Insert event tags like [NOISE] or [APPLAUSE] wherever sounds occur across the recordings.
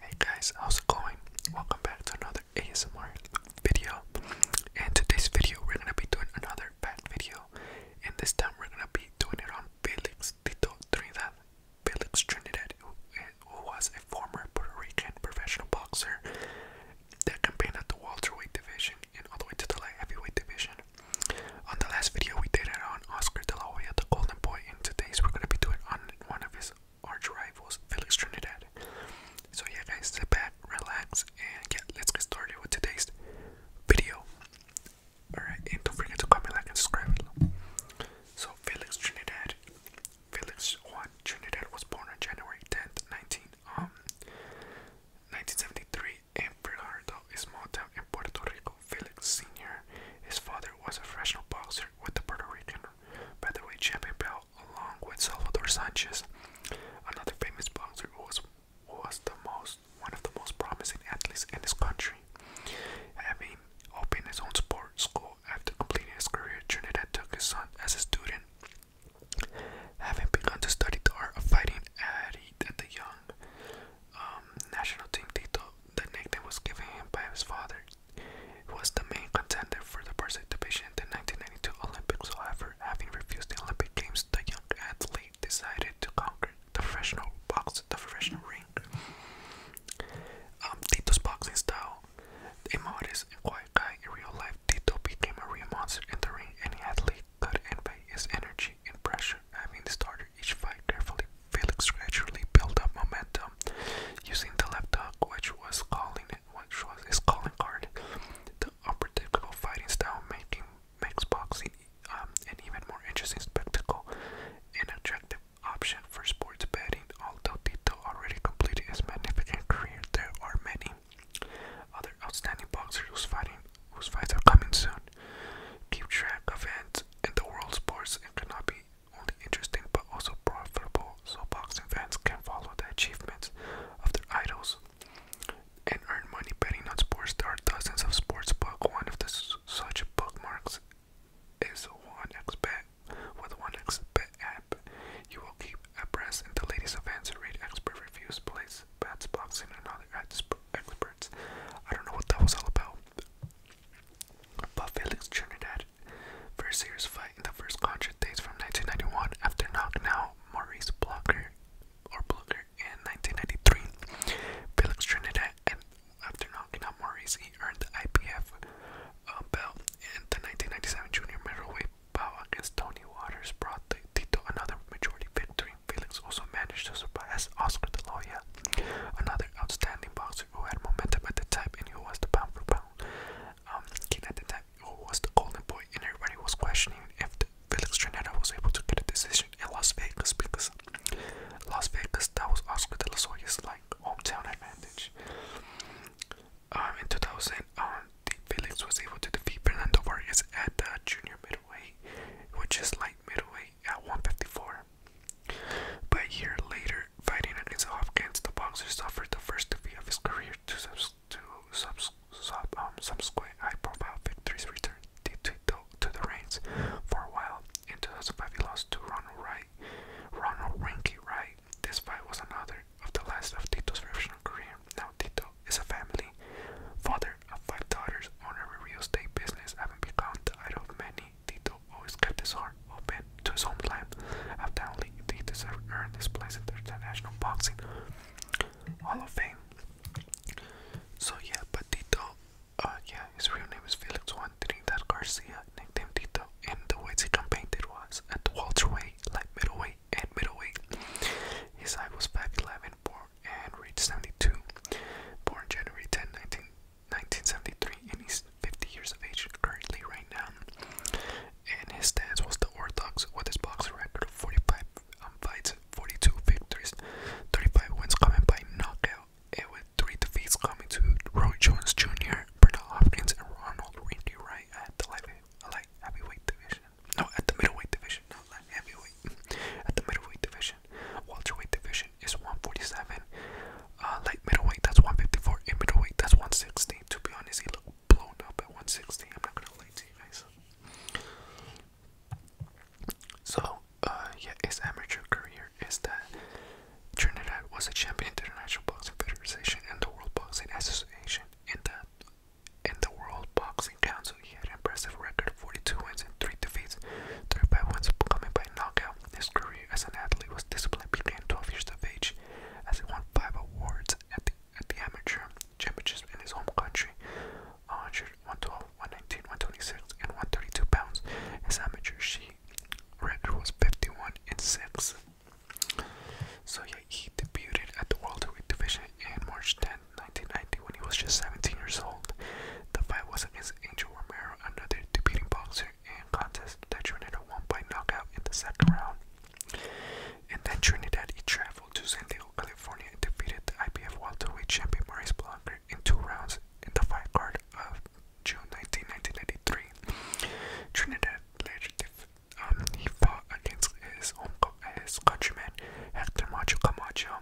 Hey guys, how's it going? Welcome back to another ASMR video. In today's video, we're gonna be doing another bat video, and this time we're gonna be doing it on Felix Tito Trinidad. Felix Trinidad, who, was a former Puerto Rican professional boxer that competed at the welterweight division and all the way to the light heavyweight division. On the last video, we did it on Oscar De La Hoya, the Golden Boy, and today's we're gonna be doing on one of his arch rivals, Felix Trinidad. So, yeah, guys, sit back, relax, and let's get started with today's video. Alright, and don't forget to comment, like, and subscribe. So, Felix Trinidad, Felix Juan Trinidad was born on January 10th, 19, um, 1973, in Bernardo, a small in Puerto Rico. Felix Sr. His father was a professional boxer with the Puerto Rican featherweight champion belt, along with Salvador Sanchez, another famous boxer who was, was the most one of the most promising athletes in his country. Having opened his own sports school after completing his career, Trinidad took his son as a student. Having begun to study the art of fighting at, the young um, national team, Tito, the nickname was given him by his father, who was the main contender for the division in the 1992 Olympics. However, having refused the Olympic Games, the young athlete decided to conquer the professional box, the professional ring. Um, Tito's boxing style, a modest and quiet guy in real life, Tito became a real monster in the ring. Any athlete could envy his energy and pressure, having started each fight carefully Felix gradually built up momentum using the left hook, which was calling which was his calling card. The upper unpredictable fighting style making makes boxing um, an even more interesting spectacle, and attractive option for sports betting. Although Tito already completed his magnificent career, there are many other outstanding boxers whose fighting whose fights are coming soon. Keep track of events in the world sports and cannot be only interesting but also profitable so boxing fans can follow the achievements of their idols and earn money betting on sports. There dozens of sports book. One of the such bookmarks is one With one app, you will keep abreast in the latest events, read expert reviews, place bets, boxing, and other experts. I don't know what that was all about. But Felix Trinidad first serious fight in the first contract dates from 1991 after knocking out Maurice Blocker or Blocker in 1993. Felix Trinidad, and after knocking out Maurice, he earned the IPF uh, belt and the 1997 junior middleweight bout against Tony Waters brought the Tito another majority victory. Felix also managed to surpass Oscar De Loya, another outstanding boxer who had momentum at the time and who was the pound for pound um, king at the time, who was the golden boy, and everybody was questioning if Felix Trinidad was able to get a decision in Las Vegas because Las Vegas that was Oscar De La Soya's like hometown advantage. Um, in 2000, um, Felix was able to defeat Fernando Vargas at the junior middleweight, which is light middleweight at 154. But a year later, fighting at Islam against the boxer suffered the first defeat of his career to, subs sub subs sub um, subsequent high-profile victories returned to, to, to the reins for a while. In 2005, he lost to Ronald Wright. Ronald Rinky Wright. This fight was another of the last of Tito's professional career. Now Tito is a family father of five daughters, owner of a real estate business, having become the idol of many Dito always kept his heart open to his homeland. Undoubtedly, he deserved earned earn his place in the International Boxing Hall of Fame. So yeah, but Dito, uh, yeah, his real name is Felix Juan Trinidad Garcia, nicknamed Dito. and the weights he competed was at the welterweight, light middleweight, and middleweight. His eye was 5'11", and reached 72. Born January 10, 19 1973, and he's 50 years of age currently right now. And his stance was the orthodox with his boxing record of 45 um, fights, 42 victories, 35 wins coming by knockout, and with three defeats coming to Roy Jones Jr., Bernard Hopkins, and Ronald Rindy Wright at the light, light heavyweight division. No, at the middleweight division, not light heavyweight. [LAUGHS] At the middleweight division, welterweight division is 147 uh, light middleweight, that's 154, middleweight, that's 160. To be honest, he looked blown up at 160. I'm not gonna lie to you guys. So, uh, yeah, his amateur career is that Trinidad was a champion the National boxing federation and the World Boxing Association. In the in the World Boxing Council, he had an impressive record of 42 wins and 3 defeats, 35 coming by by knockout. His career as an athlete was disciplined began 12 years of age, as he won five awards at the, at the amateur championships in his home country 112, 119, 126, and 132 pounds. As amateur, she record was 51 in 6. So he debuted at the World Heavyweight Division in March 10, 1990, when he was just 17 years old. The fight was against Angel Romero, another debuting boxer and contest that Trinidad won by knockout in the second round. And then Trinidad he traveled to San Diego, California and defeated the IBF welterweight champion Maurice Blanca in two rounds in the fight card of June 19, 1993. Trinidad later um, he fought against his uncle, co his countryman Hector Macho Camacho.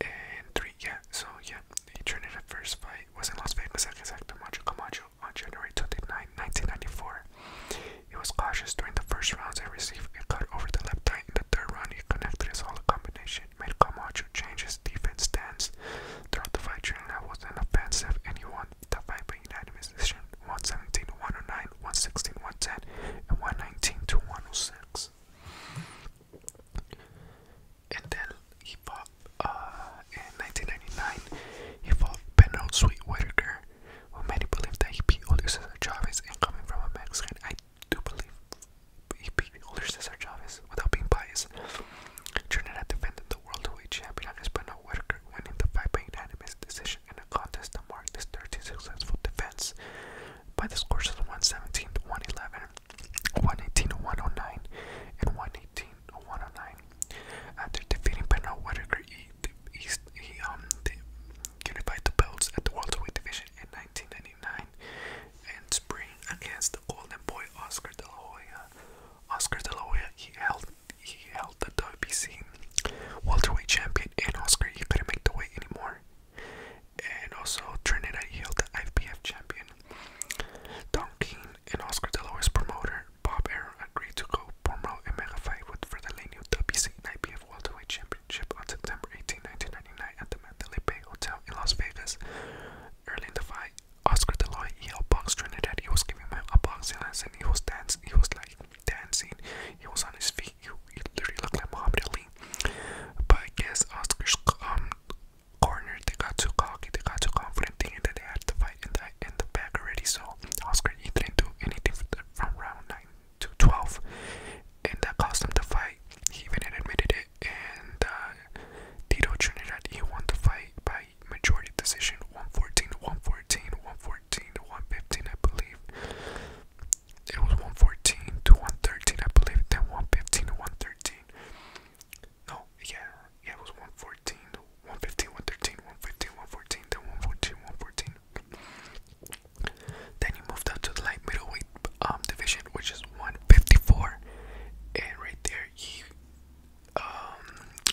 And three, yeah, so yeah, he Trinidad first fight it was in Las Vegas at the exacto Macho Camacho on January 29, 1994. He was cautious during the first rounds and received a cut over the left eye. In the third round, he connected his solid combination, made Camacho change his defense stance. Throughout the fight, Trinidad was inoffensive and he won the fight by unanimous decision 117 109, 116 110, and 119 to 106. Intel hip hop. Uh, in 1999, he fought Penrod Sweet who many believe that he beat older Cesar Chavez and coming from a Mexican. I do believe he beat older Cesar Chavez without being biased. Trinidad defended the World Weight Champion against Penrod Whitaker, winning the fight by unanimous decision in a contest that marked his 13th successful defense by the scores of 117 111, 118 109, and 118 109. After defeating Benoit Whitaker, he, he, he um, unified the belts at the welterweight division in 1999 and spring against the Golden Boy Oscar De La Hoya. Oscar De La Hoya, he held, he held the WBC welterweight champion, and Oscar, he couldn't make the weight anymore. And also, Trinidad, he held the IBF champion. Don King, and Oscar De La Hoya's promoter, Bob Arum, agreed to go promote a mega fight with Verdelenio WC IBF Welterweight Championship on September 18, 1999 at the Mandalay Bay Hotel in Las Vegas. Early in the fight, Oscar De La Hoya yelled Trinidad. He was giving him a boxing lesson. He was dancing. He was like dancing. He was on his feet. He, literally looked like Muhammad Ali. But I guess Oscar's um, cornered. They got too cocky. They got too confident, and that they had to fight in the in the back already. So Oscar he didn't do anything from round nine to twelve, and that caused him to fight. He even admitted it. And uh, Tito Trinidad he won the fight by majority decision, 114, 114, 114 115, I believe. It was 114 to 113, I believe. Then 115 to 113. No, yeah, yeah, it was 114, 115, 113, 115, 114, then 114, 114. Then you moved up to the light middleweight um, division, which is 154. And right there, you, um,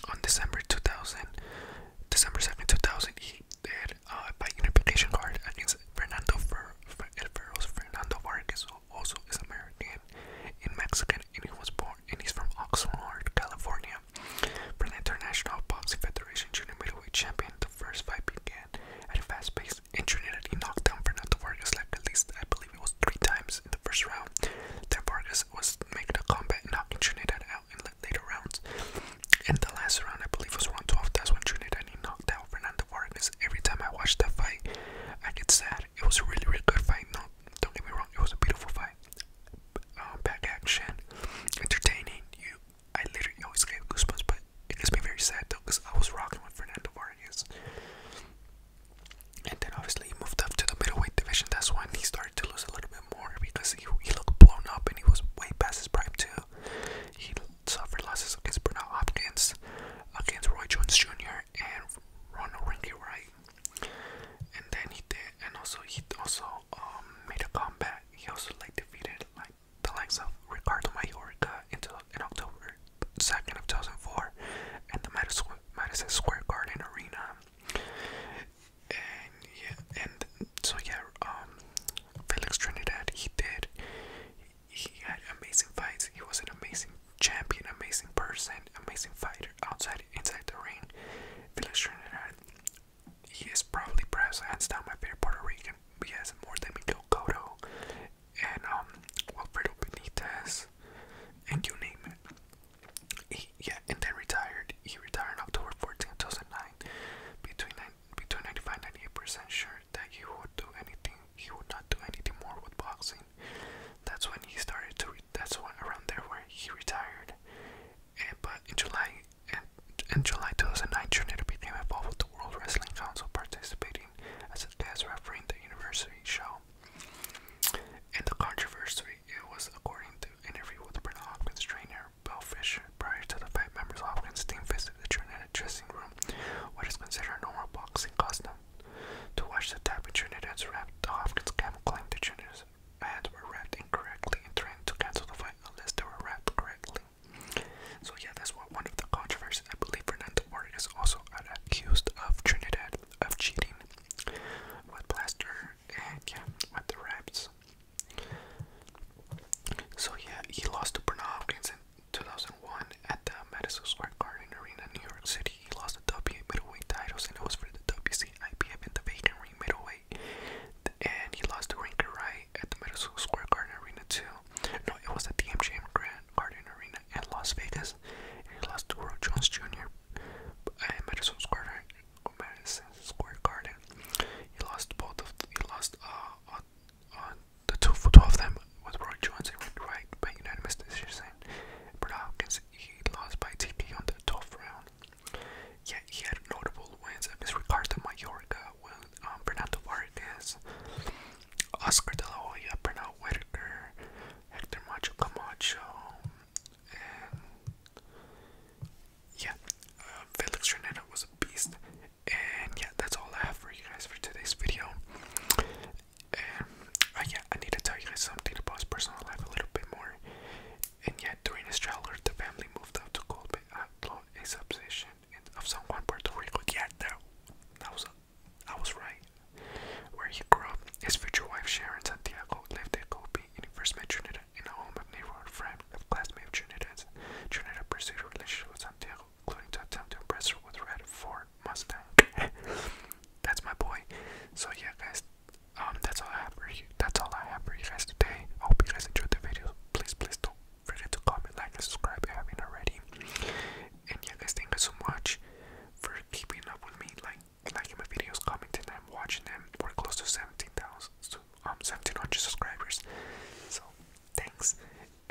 on December 2000, December 7, 2000, he did uh, by unification card against Fernando Fer Fer Fernando Vargas, who also is American in Mexico and he was born and he's from Oxnard, California. From the International Boxing Federation Junior Middleweight Champion, the first fight began at a fast pace and Trinidad knocked down Fernando Vargas like at least I believe it was three times in the first round. Then Vargas was making a combat knocking Trinidad out in later rounds. In the last round I believe was round 12, that's when Trinidad he knocked out Fernando Vargas. Every time I watched that fight I get sad. It was a really really good fight, no don't get me wrong, it was a beautiful fight. Um, action, entertaining. You, I literally always gave goosebumps, but it makes me very sad though, cause I was rocking with Fernando Vargas. And then obviously he moved up to the middleweight division. That's when he started to lose a little bit more because he, he looked blown up and he was way past his prime too. He suffered losses against Bernal Hopkins, against Roy Jones Jr., and Ronald Rinky Wright. And then he did, and also he also um, made a comeback. He also like defeated like the likes of Ricardo Mayorga into in October second of 2004 at the Madison, Square Garden Arena. And yeah, and so yeah, um, Felix Trinidad he did. He, he had amazing fights. He was an amazing champion, amazing person, amazing fighter outside inside the ring. he is probably perhaps hands down my favorite Puerto Rican. He has more than Miguel Cotto and um, Wilfredo Benitez, and you name it. He, yeah, and then retired. He retired on October fourteenth, two 2009. Between, between 95 and 98% sure that he would do anything, he would not do anything more with boxing. That's when he started to. That's when around there where he retired. And, but in July, and, in July 2009, Trinidad became involved with the World Wrestling Council, participating as a guest referee in the university show. In the controversy, it was according to an interview with Brenna Hopkins' trainer, Bill Fisher. Prior to the fight, members of Hopkins' team visited the Trinidad dressing room, what is considered normal boxing custom. To watch the type Trinidad's wrapped, Hopkins camp claimed the Trinidad's ads were wrapped incorrectly and to cancel the fight unless they were wrapped correctly. So yeah, that's what one of the controversies. I believe Fernando Ortega is also accused of Trinidad of cheating with plaster and yeah, with the wraps. So yeah, he lost to Bernard Hopkins in 2001 at the Madison Square Garden Arena, New York City he lost the WBA middleweight titles, and it was for the WC, IBF, and the vacant ring middleweight. And he lost to Rinker Wright at the Madison Square Garden Arena too. No, it was at the MGM Grand Garden Arena in Las Vegas. he lost to Earl Jones Jr. at Madison Square, Madison Square Garden. He lost both of the, he lost uh, on, uh, uh, the two, for two of them with Roy Jones and Rick Wright by unanimous decision. But can see he lost by TP on the 12th round. Yet he had notable wins against Ricardo Mallorca, um, Bernardo Vargas, Oscar De La Hoya, Bernardo Whitaker, Hector Macho Camacho, and yeah, uh, Felix Renata was a beast. And yeah, that's all I have for you guys for today's video. And um, yeah, I need to tell you guys something about his personal life a little bit more. And yet, during his childhood, the family moved out to Golpe Atlo, a substation of San Juan, Puerto Rico. Yeah, that, was, I was right. Where he grew up, his future wife Sharon Santiago lived at Golpe, and he first met Trinidad in a home of neighborhood friend, of classmate of Trinidad's. Trinidad pursued a relationship with Santiago, including to attempt to impress her with red for Mustang. [LAUGHS] that's my boy. So yeah, guys. Um, that's all I have for you. That's all I have for you guys today. hope you guys enjoyed the video. Please, please don't forget to comment, like, and subscribe if you haven't already. And yeah, guys, thank you so much for keeping up with me, like liking my videos, commenting and watching them. We're close to seventeen thousand, so um, seventeen hundred subscribers. So thanks.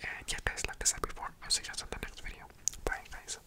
And yeah, guys, like I said before, I'll see you guys on the next video. Bye, guys.